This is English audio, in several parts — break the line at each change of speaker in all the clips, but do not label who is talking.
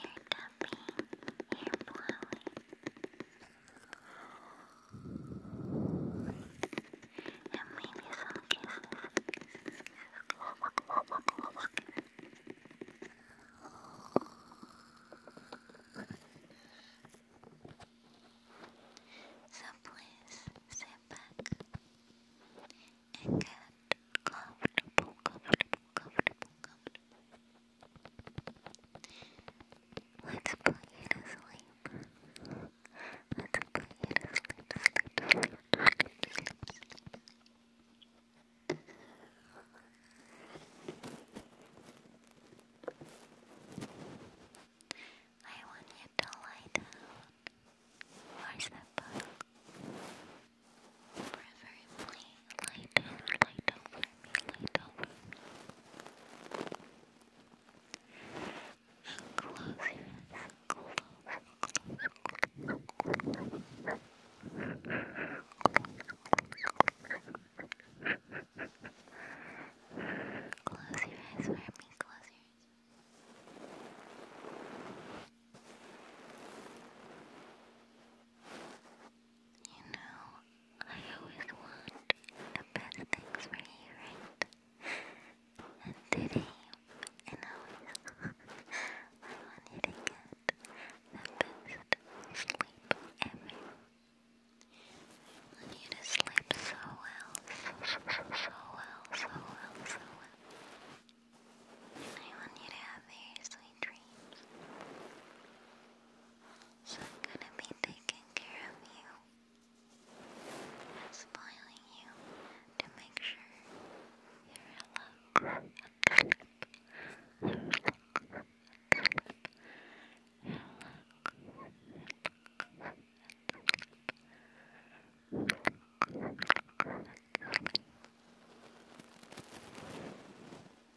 hair cupping, hair blowing, and maybe some kisses. So please sit back and get comfortable, comfortable, comfortable, comfortable. Let's put you to sleep. Let's put you to sleep, I want you to lie down. Where's the book? Forever play light over, light over me, light over Close your eyes, close, your eyes close your eyes. Close your eyes. You know, I always want the best things for you, right? And today, and always, I want to get the best sleep ever. I want you to sleep so well, so, so, so, well, so well, so well. I want you to have a sweet so I'm gonna be taking care of you spoiling you to make sure you're relaxed.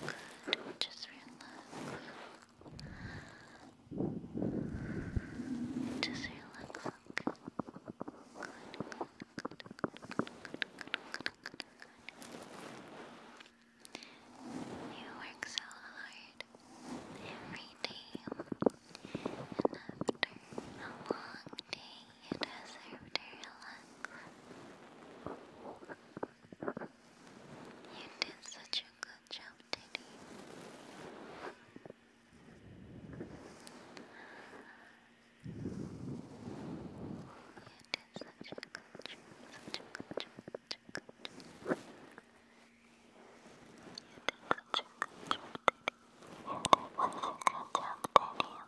Good, good. Just relax. Just relax. You work so hard every day, and after a long day, you deserve to relax. You did such a good job, Teddy. You did such a good job, such a good job, such a good job. You did such a good job, Teddy.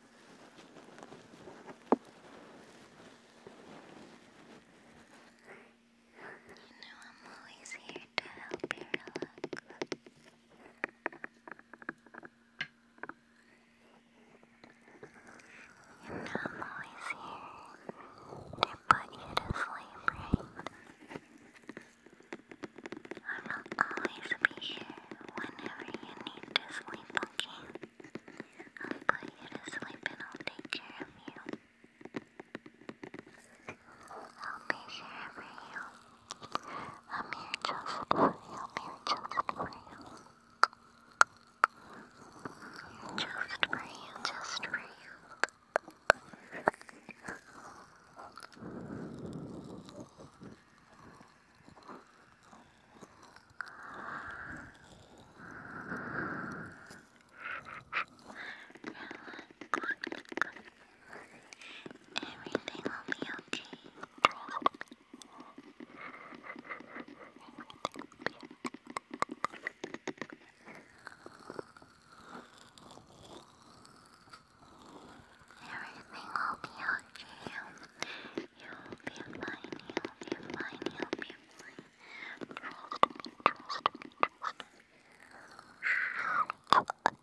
You know I'm always here to help you relax. You know I'm always here to put you to sleep, right? I will always be here whenever you need to sleep, okay? I'll put you to sleep and I'll take care of you. I'll be here for you. I'm here just for you. I'm here just for you. Just for you, just for you. Everything will be okay. Everything will be okay. You'll be fine, you'll be fine, you'll be fine. Everything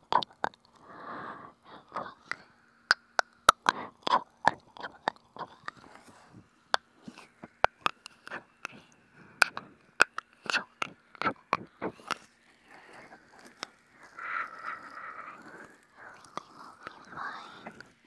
will be fine.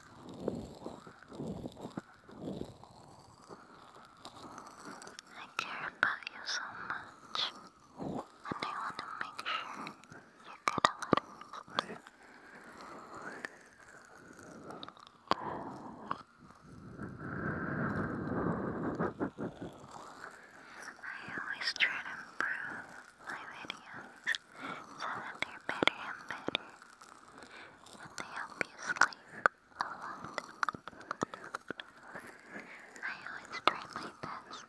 I care about you so much, and I want to make sure you get a I always try to improve my videos so they're better and better, and they help you sleep a lot. I always try my best,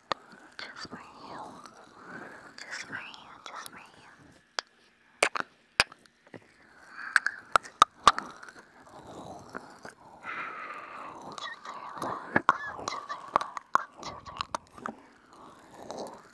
just for you, just for you, just for you. Just relax, just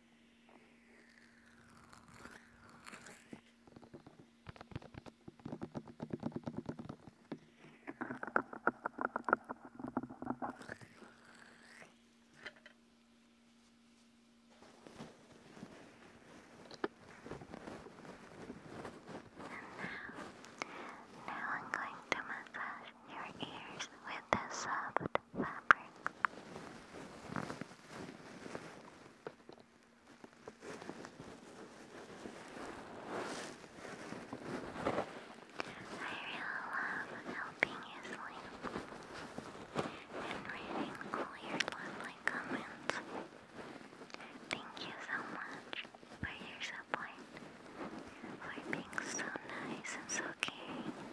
Now I'm going to massage your ears with this soft uh, I really love
helping you sleep and reading all your lovely comments. Thank you so much for your support, for being so nice and so caring.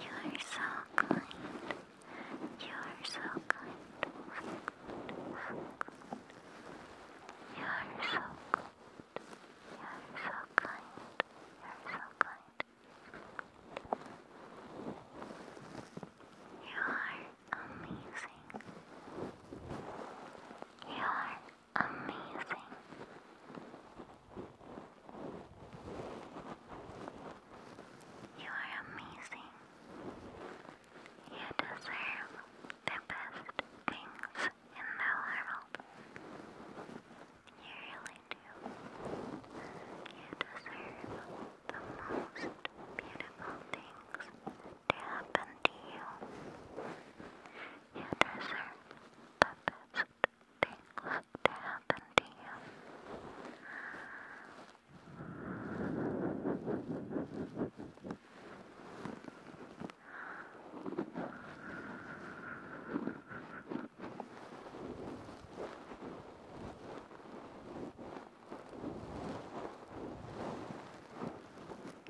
You are so kind. You are so kind. You are so kind. You are so kind. You are so kind. You are amazing. You are amazing. You are amazing. You deserve the best things in the world. You really do. You deserve the most beautiful things to happen to you. You deserve the best things to happen to you.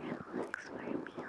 Relax for me, okay?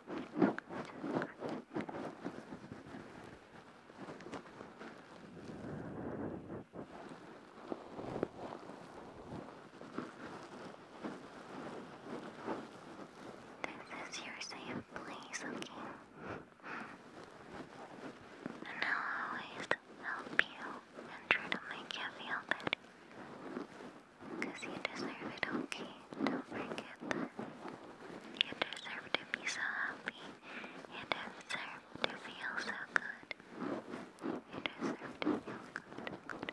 This
is your safe place, okay? And I'll always help you and try to make you feel better. Because you deserve it, okay? Don't forget that. You deserve to be so happy. You deserve to feel so good. You deserve to feel good.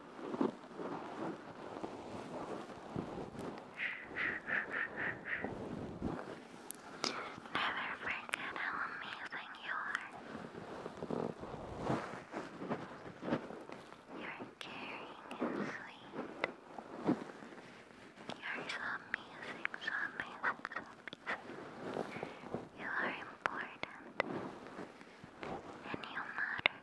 Never forget how amazing you are. You're caring and sweet. You're so amazing, so amazing, so amazing. You are important and you matter.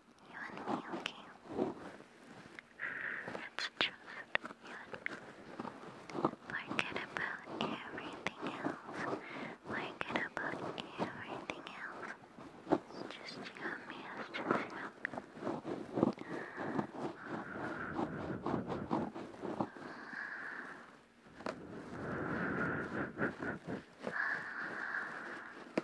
you and me, okay? It's just you Forget about everything else. Forget about everything else. It's just you and me, it's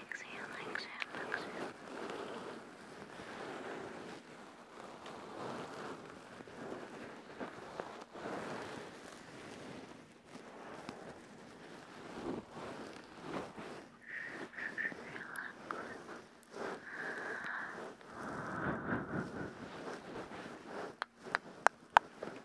exhale, exhale, exhale, exhale. Relax.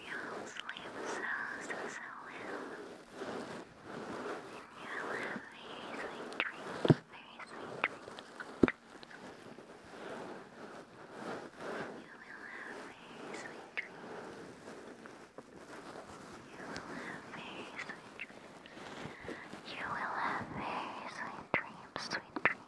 You'll sleep so, so, so well. you'll have very sweet dreams, very sweet dreams. You will have very sweet dreams. You will have very sweet dreams. You will have very sweet dreams, sweet dreams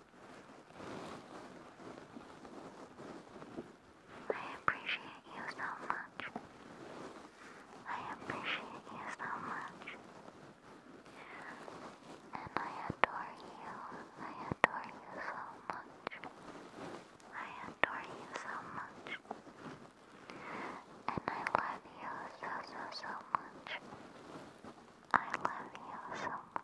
I appreciate you so much. I appreciate you so much. And I adore you. I adore you so much. I adore you so much. And I love you so, so, so much. I love you so much.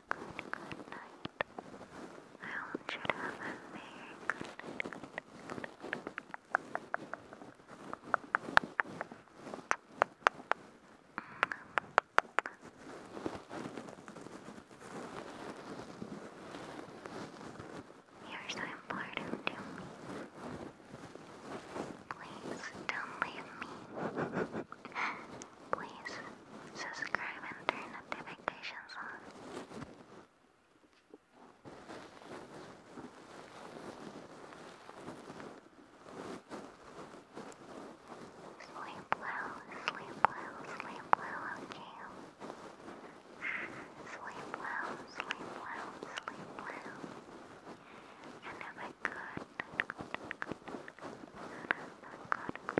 good night. I want you to have a very good night. You're so important to me. Please don't leave me. Please subscribe and turn notifications on. Sleep well, sleep well, sleep well, okay? Sleep well, sleep well, sleep well. And have a good, good, good, good,